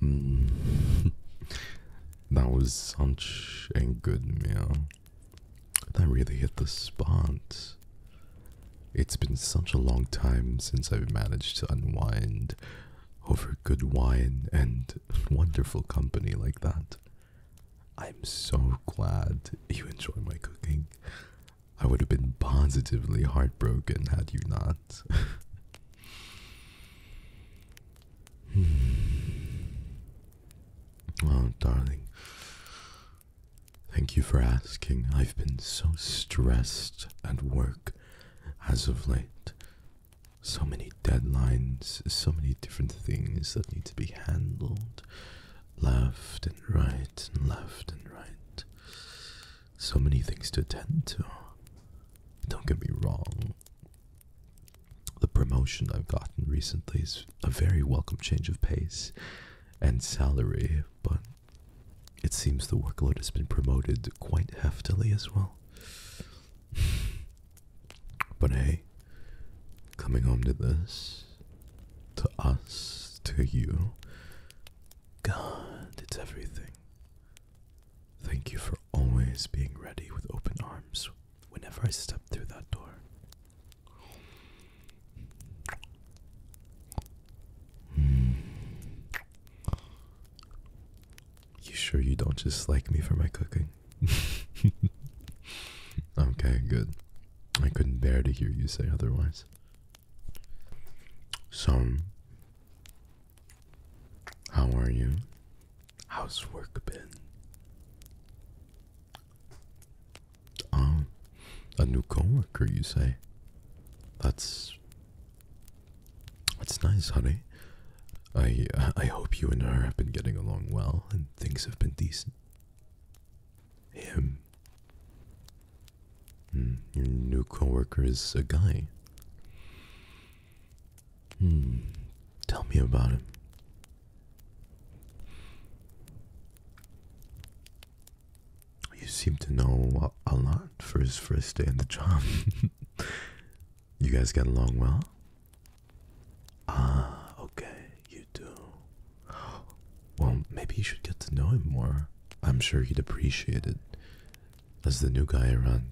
Hmm. that was such a good meal. That really hit the spot. It's been such a long time since I've managed to unwind over good wine and wonderful company like that. I'm so glad you enjoy my cooking. I would have been positively heartbroken had you not. oh, darling. Thank you for asking. I've been so stressed at work as of late so many deadlines, so many different things that need to be handled left and right and left and right. So many things to attend to. Don't get me wrong. The promotion I've gotten recently is a very welcome change of pace and salary, but it seems the workload has been promoted quite heftily as well. But hey, coming home to this, to us, to you, God, it's everything. Thank you for always being ready with open arms whenever I step through that door. Hmm. You sure you don't just like me for my cooking? okay, good. I couldn't bear to hear you say otherwise. So, how are you? How's work been? Oh, a new coworker, you say? That's it's nice, honey. I I hope you and her have been getting along well and things have been decent. Him. Hmm, your new coworker is a guy. Hmm. Tell me about him. You seem to know a lot for his first day on the job. you guys get along well? Ah, okay, you do. Well, maybe you should get to know him more. I'm sure he'd appreciate it as the new guy around.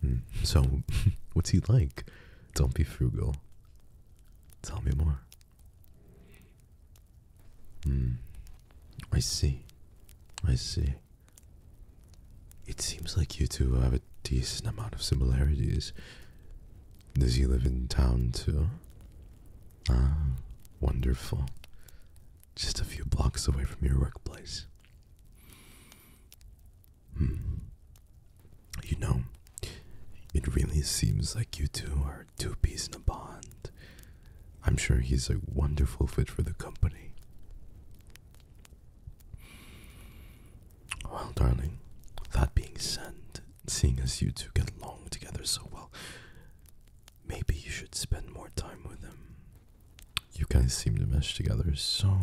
Hmm, so, what's he like? Don't be frugal. Tell me more. Hmm. I see. I see. It seems like you two have a decent amount of similarities. Does he live in town too? Ah, wonderful. Just a few blocks away from your workplace. Hmm. You know, it really seems like you two are two peas in a bond. I'm sure he's a wonderful fit for the company. Well, darling, that being said, seeing as you two get along together so well, maybe you should spend more time with him. You guys seem to mesh together so,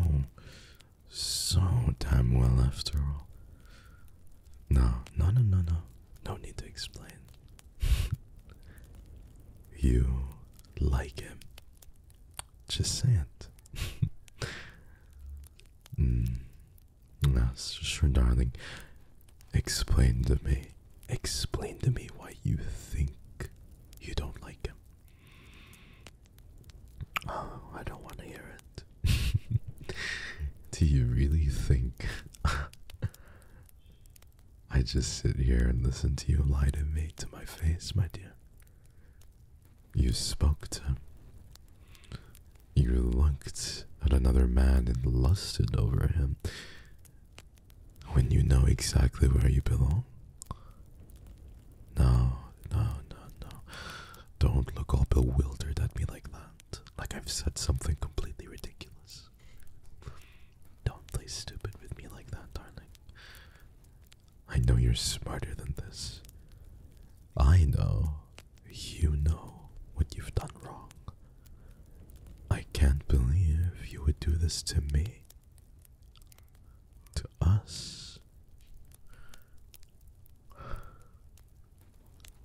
so damn well after all. No, no, no, no, no. No need to explain. you like him, just say it. mm. Yes, sure, darling. Explain to me. Explain to me why you think you don't like him. Oh, I don't want to hear it. Do you really think I just sit here and listen to you lie to me to my face, my dear. You spoke to. You looked at another man and lusted over him when you know exactly where you belong. No, no, no, no. Don't look all bewildered at me like that, like I've said something completely ridiculous. Don't play stupid with me like that, darling. I know you're smarter than this. I know you know what you've done wrong. I can't believe you would do this to me. To us.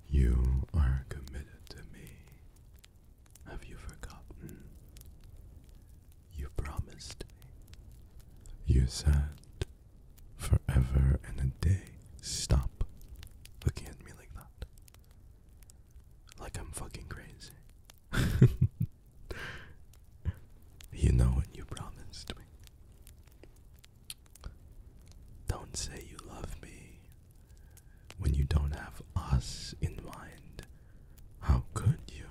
You are committed to me. Have you forgotten? You promised me. You said forever and a day. Stop looking at me like that. Like I'm fucking crazy. you know what you promised me. Don't say you love me when you don't have us in mind. How could you?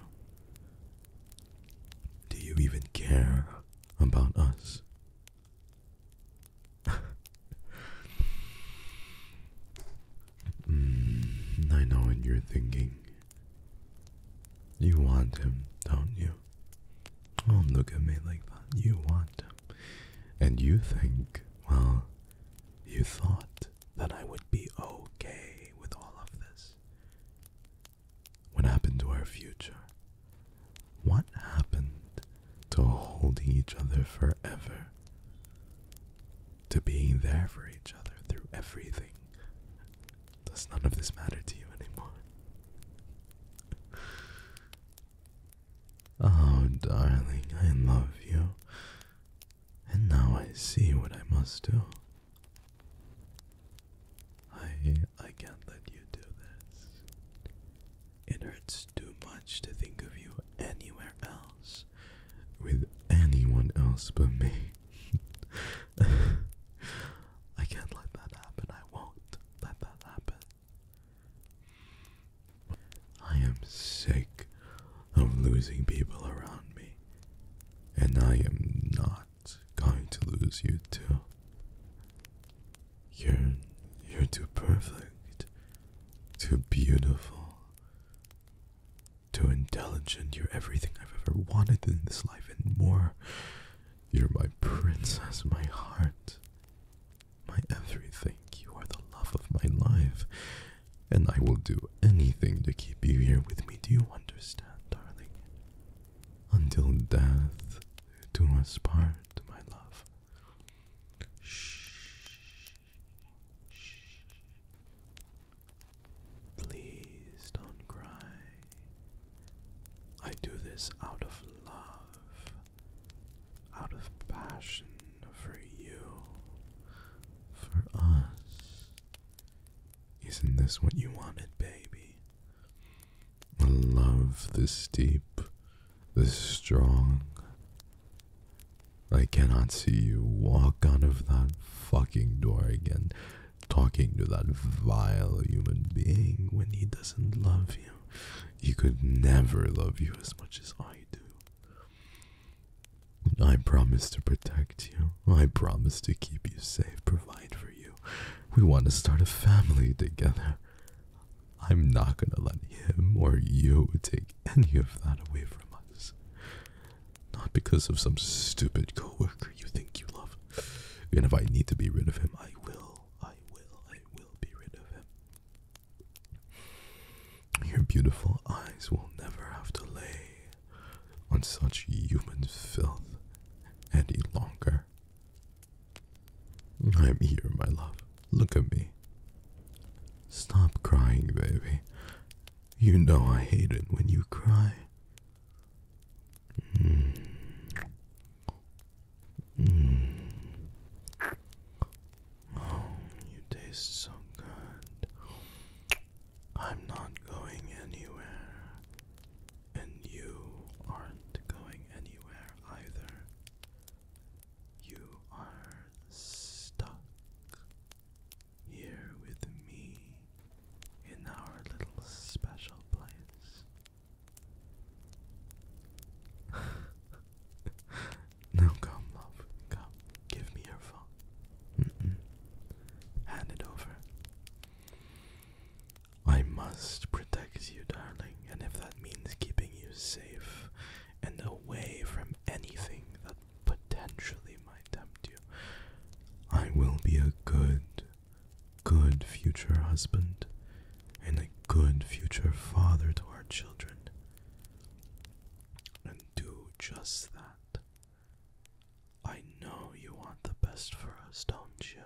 Do you even care about us? Hmm, I know what you're thinking. You want him, don't you? Oh, look at me like that. You want him. And you think, well, you thought that I would be okay with all of this. What happened to our future? What happened to holding each other forever? To being there for each other through everything? Does none of this matter to you anymore? Oh, darling, I love you. And now I see what I must do. I I can't let you do this. It hurts too much to think of you anywhere else with anyone else but me. I can't let that happen. I won't let that happen. I am sick of losing people around me, and I am not going to lose you too. You're you're too perfect, too beautiful, too intelligent. You're everything I've ever wanted in this life and more. You're my princess, my heart, my everything. You are the love of my life and I will do anything to keep you here with me. Do you understand, darling? Until death do us part, my love. Shh. Please don't cry. I do this out of love, out of passion for you, for us. Isn't this what you wanted, baby? A love this deep, this strong. I cannot see you walk out of that fucking door again, talking to that vile human being when he doesn't love you. He could never love you as much as I do. I promise to protect you. I promise to keep you safe, provide for you. We want to start a family together. I'm not going to let him or you take any of that away from us. Not because of some stupid coworker you think you love. And if I need to be rid of him, I will. I will. I will be rid of him. Your beautiful eyes will never have to lay on such human filth any longer. I am here, my love. Look at me. Stop crying, baby. You know I hate it when you cry. Mm. Mm you taste so good. I'm not going anywhere. And you aren't going anywhere either. You are stuck here with me in our little special place. Now come, love, come. Give me your phone. Hand it over. I must protect you, darling, and if that means keeping you safe and away from anything that potentially might tempt you, I will be a good, good future husband and a good future father to our children do just that. I know you want the best for us, don't you?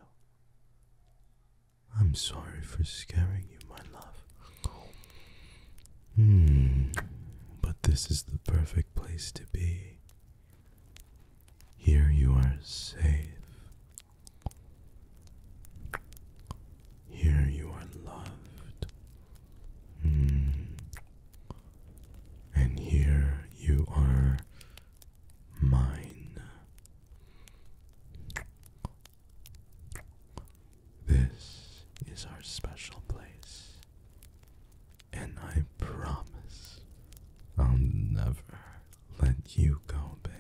I'm sorry for scaring you, my love. Hmm, but this is the perfect place to be. Here you are safe. Here you are loved. Hmm. And here you are mine. This is our special place. And I promise I'll never let you go, baby.